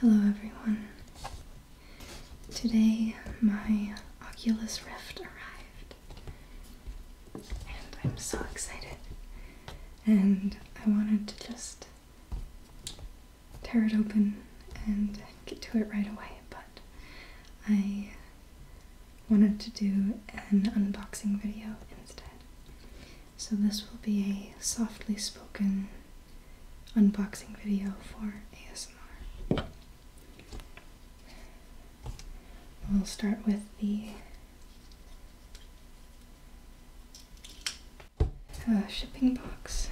Hello everyone. Today my Oculus Rift arrived and I'm so excited. And I wanted to just tear it open and get to it right away, but I wanted to do an unboxing video instead. So this will be a softly spoken unboxing video for ASMR. We'll start with the uh, shipping box.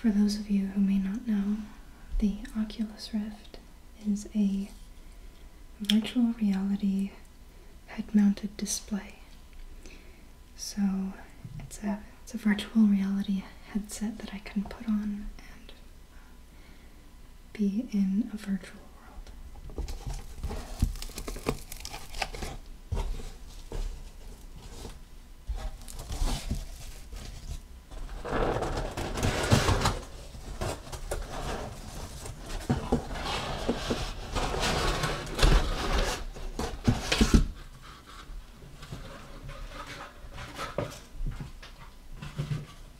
For those of you who may not know, the Oculus Rift is a virtual reality head mounted display. So it's a, it's a virtual reality headset that I can put on and be in a virtual world.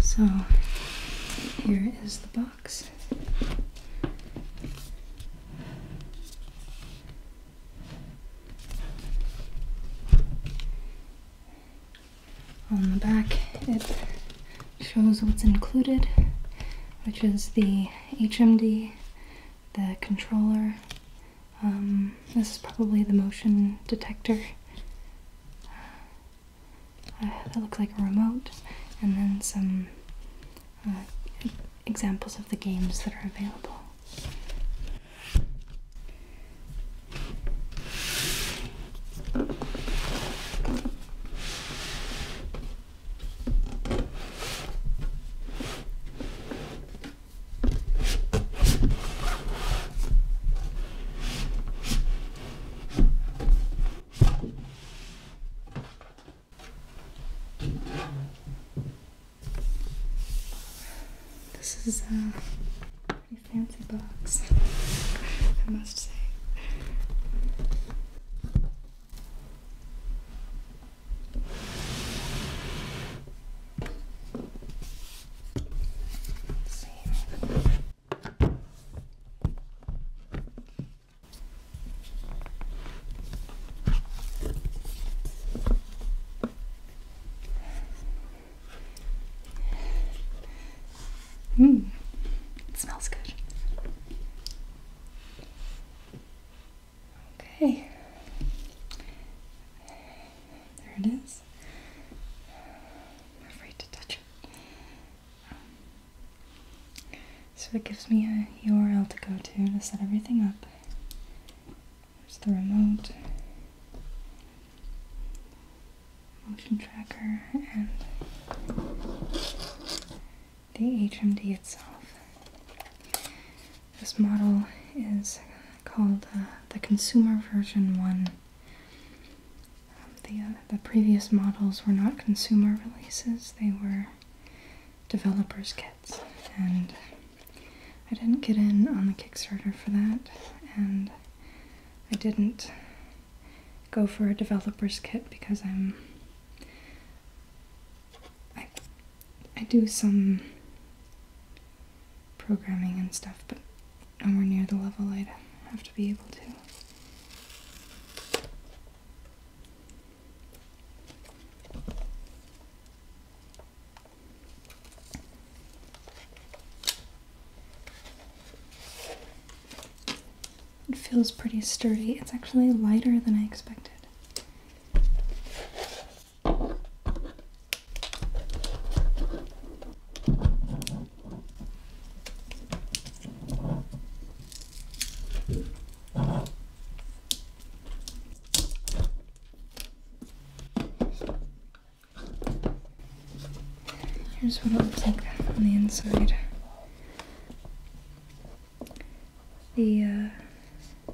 So here is the box. On the back, it shows what's included, which is the HMD the controller. Um, this is probably the motion detector. Uh, that looks like a remote, and then some uh, examples of the games that are available. This is a pretty fancy box, I must say. Same. Hmm. it smells good. Okay. There it afraid to touch it. so it gives me a URL to go to to set everything up. There's the remote, motion tracker, and the HMD itself. This model is called uh, the Consumer Version 1. Um, the, uh, the previous models were not consumer releases, they were developers' kits. And I didn't get in on the Kickstarter for that, and I didn't go for a developer's kit because I'm I I do some programming and stuff, but nowhere near the level I'd have to be able to. It feels pretty sturdy. It's actually lighter than I expected. Here's what it looks on the inside. The uh,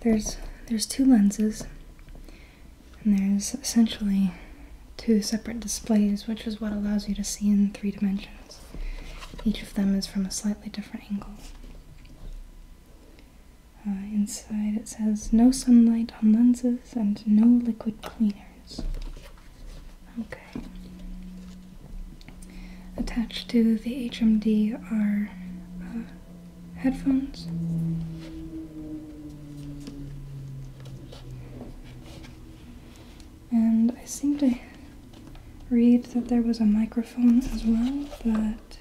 there's there's two lenses, and there's essentially two separate displays, which is what allows you to see in three dimensions. Each of them is from a slightly different angle. Uh, inside it says no sunlight on lenses and no liquid cleaners. Okay. Attached to the HMD are uh, headphones. And I seem to read that there was a microphone as well, but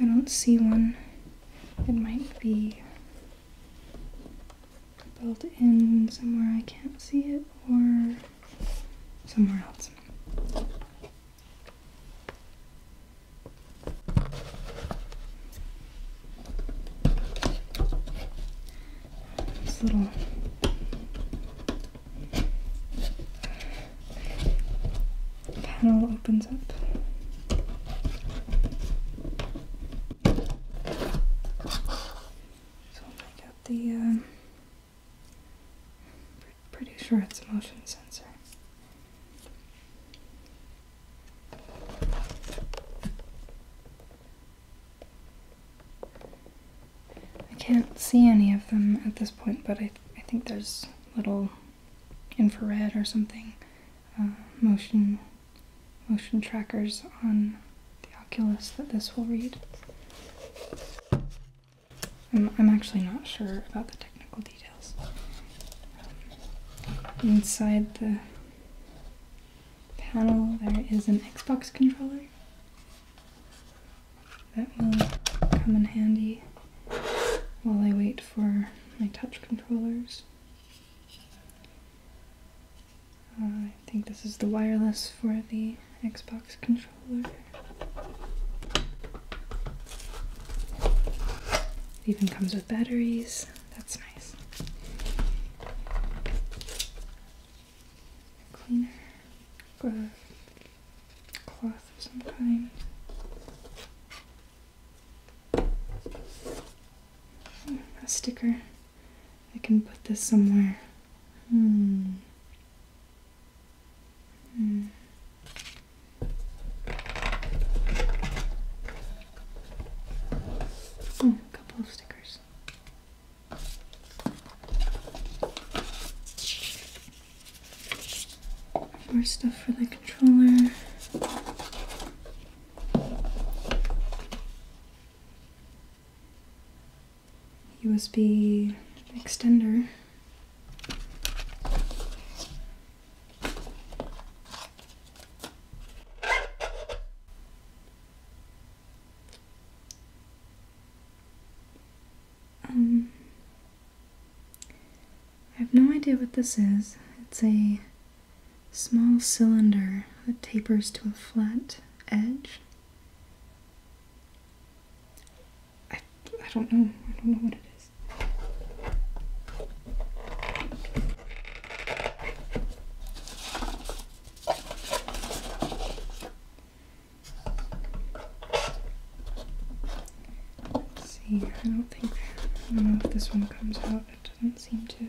I don't see one. It might be built in somewhere I can't see it or somewhere else. This little panel opens up so I got the, um, pretty sure it's a motion sensor. I can't see any of them at this point, but I, I think there's little infrared or something uh, motion motion trackers on the Oculus that this will read. I'm, actually not sure about the technical details. Um, inside the panel, there is an Xbox controller that will come in handy while I wait for my touch controllers. I think this is the wireless for the Xbox controller. It even comes with batteries. That's nice. Cleaner, cloth of some kind. A sticker. I can put this somewhere. Hmm. Hmm. Oh, a couple of stickers. More stuff for the controller. USB extender. Um, I have no idea what this is. It's a small cylinder that tapers to a flat edge. I, I don't know. I don't know what it is. Let's see, I don't think, I don't know if this one comes out. It doesn't seem to.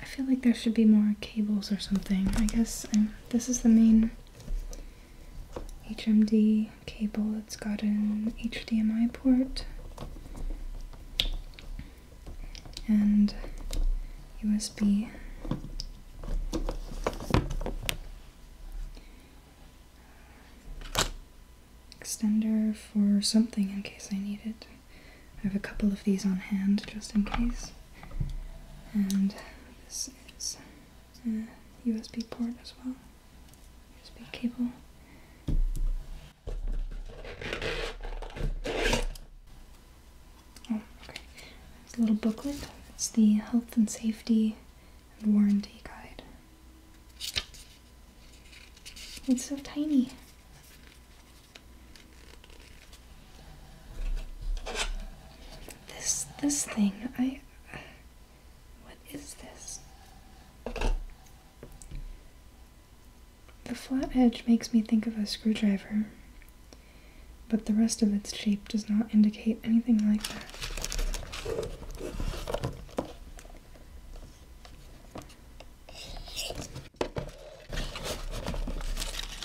I feel like there should be more cables or something. I guess um, this is the main HMD cable. It's got an HDMI port and USB. Extender for something in case I need it. I have a couple of these on hand just in case. And this is a USB port as well, USB cable. Oh, okay. There's a little booklet. It's the health and safety and warranty guide. It's so tiny. This this thing, I what is this? The flat edge makes me think of a screwdriver, but the rest of its shape does not indicate anything like that.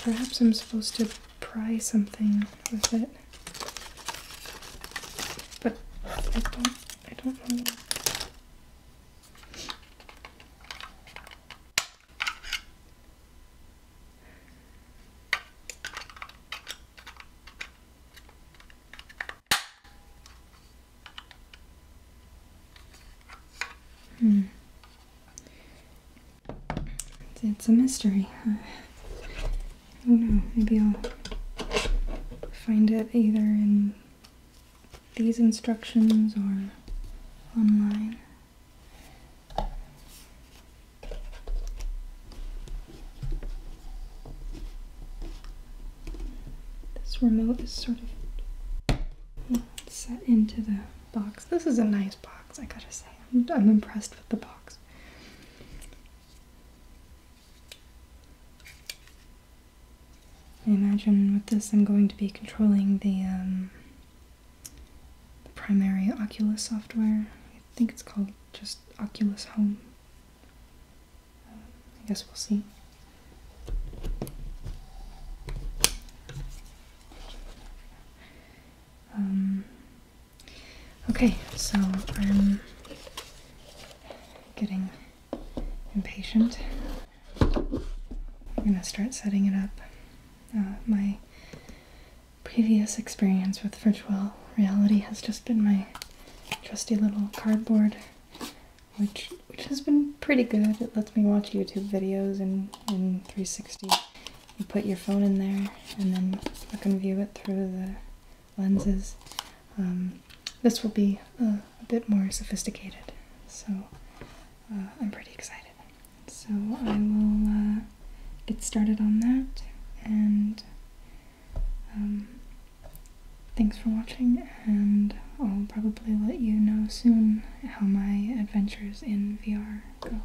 Perhaps I'm supposed to pry something with it. But I don't I don't know Hmm. It's a mystery. I don't know. Maybe I'll find it either in these instructions are online. This remote is sort of set into the box. This is a nice box, I gotta say. I'm impressed with the box. I imagine with this I'm going to be controlling um, the, primary Oculus software. I think it's called just Oculus Home. I guess we'll see. Um, okay, so I'm getting impatient. I'm gonna start setting it up. Uh, my previous experience with virtual reality has just been my trusty little cardboard, which which has been pretty good. It lets me watch YouTube videos in, in 360. You put your phone in there and then I can view it through the lenses. Um, this will be uh, a bit more sophisticated, so uh, I'm pretty excited. So I will uh, get started on that, and um, thanks for watching, and I'll probably let you know soon how my adventures in VR go.